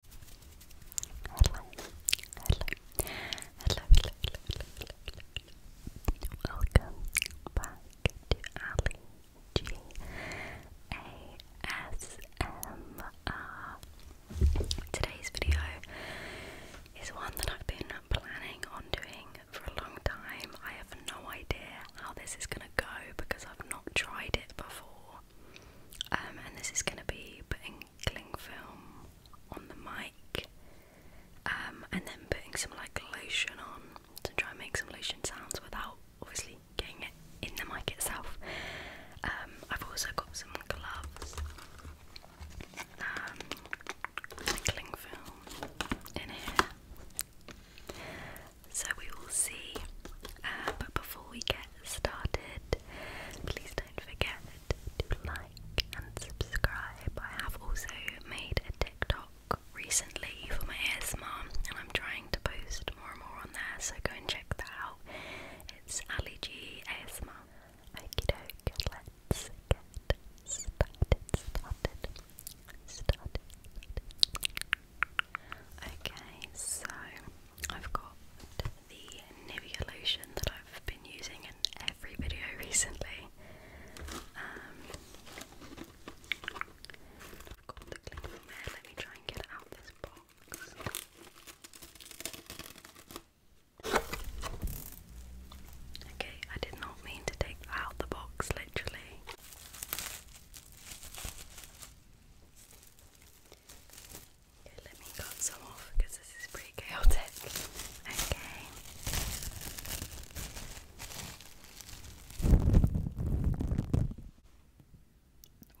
Hello. Hello. Hello, hello, hello, hello, hello. Welcome back to Ali G A S M R. Today's video is one that I've been planning on doing for a long time. I have no idea how this is gonna go because I've not tried it before. Um, and this is going to be putting cling film on the mic um, and then putting some like lotion on to try and make some lotion sounds without obviously getting it in the mic itself. Um, I've also got some gloves, um, cling film in here so we will see. Uh, but before we get started, please don't forget to like and subscribe. I have also made a TikTok recently for my ASMR, and I'm trying to post more and more on there, so go and check that out. It's Ali G ASMR. let's get started. started. Okay, so I've got the Nivea lotion that I've been using in every video recently. Um, I've got the cling from Let me try and get it out of this box. Okay, I did not mean to take out the box, literally. Okay, let me cut some off because this is pretty chaotic. Okay.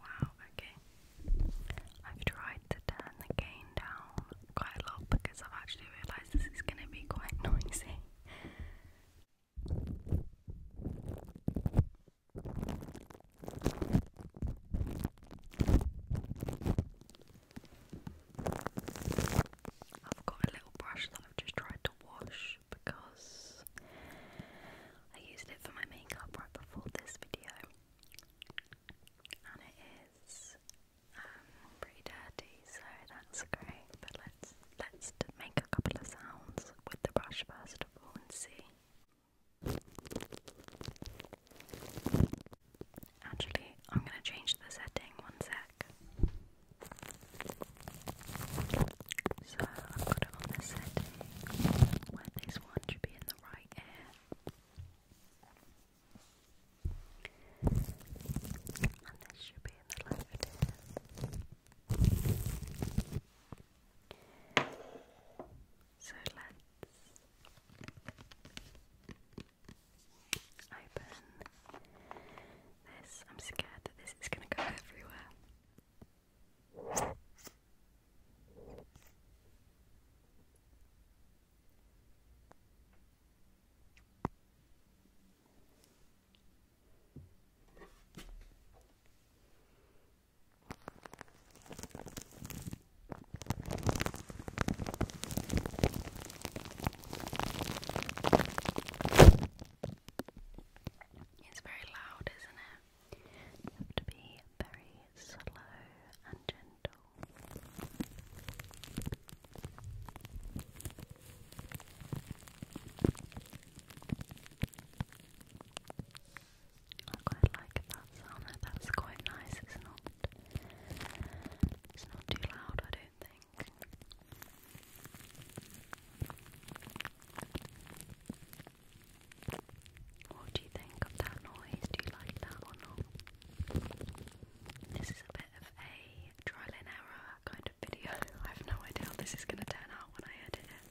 Wow, okay. I've tried to turn the gain down quite a lot because I've actually realised this is going to be quite noisy. I've got a little brush that I've just tried to wash because I used it for my makeup right before this video, and it is um, pretty dirty, so that's great let's let make a couple of sounds with the brush first of and see. Actually, I'm gonna change the setting one sec. So I've got it on the setting where this one should be in the right ear. And this should be in the left ear. So let's open this. I'm scared that this is going to go everywhere. It's very loud, isn't it? You have to be very slow and gentle. I quite like that sound. That's quite nice. It's not. It's not too loud. I don't think. What do you think of that noise? Do you like that or not? This is a bit of a trial and error kind video. I have no idea how this is going to turn out when I edit it.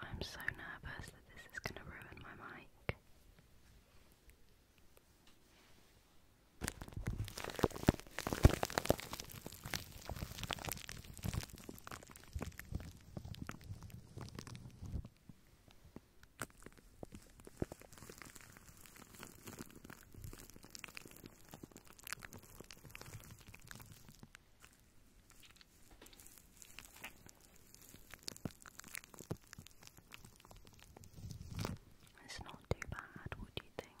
I'm so nervous that this is going to ruin my mic. It's not too bad, what do you think?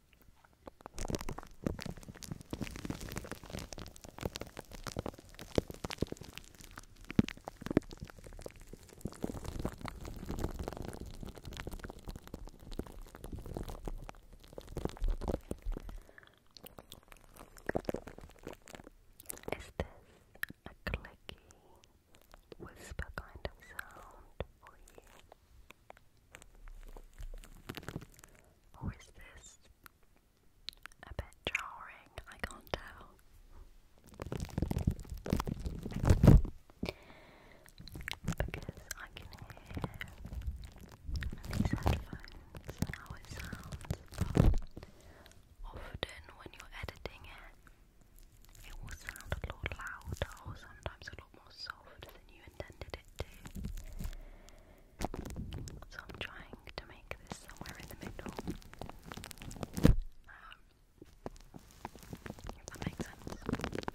Is this a clicky whisper kind of sound for you? Or is this a bit jarring? I can't tell. Because I can hear these headphones how it sounds, but often when you're editing it, it will sound a lot louder or sometimes a lot more soft so I'm trying to make this somewhere in the middle. Um, that makes sense.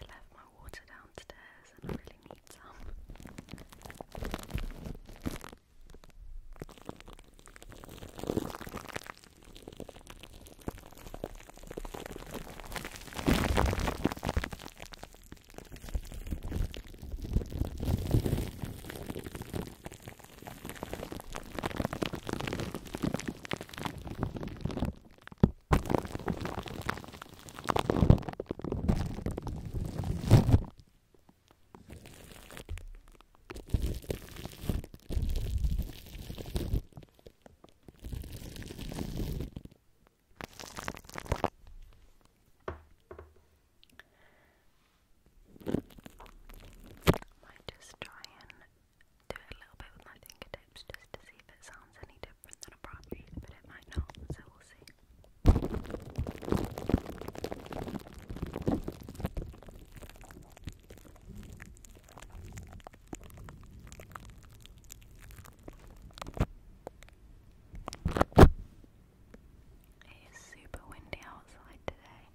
I left my water downstairs and I really need some. Might just try and do a little bit with my fingertips just to see if it sounds any different than a proper read, but it might not, so we'll see. It is super windy outside today.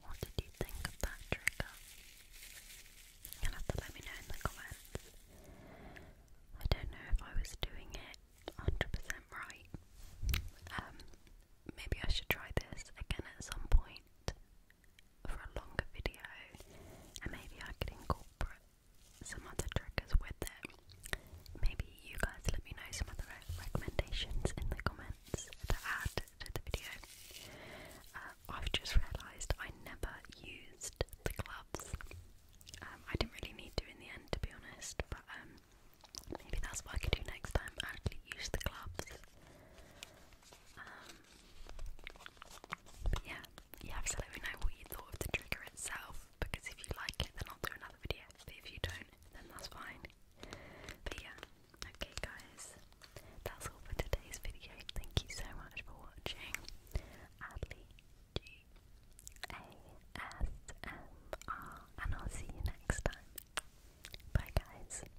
What did you think of that trigger? You'll let me know in the comments. I don't know if I was doing it 100 right. Um, maybe I should try this again at some point for a longer video, and maybe I could incorporate some other triggers with it. Maybe you guys let me know some other recommendations in the comments to add to the video. Uh, I've just realised I never used the gloves. Um, I didn't really need to in the end, to be honest, but um, maybe that's what I could do next time. Actually, use the gloves. Um, yeah, you have let me know what you thought of the trigger itself because if you like it, then I'll do another video. But if you don't, then that's fine. But yeah, okay, guys, that's all for today's video. Thank you so much for watching. Adley and I'll see you next time. Bye, guys.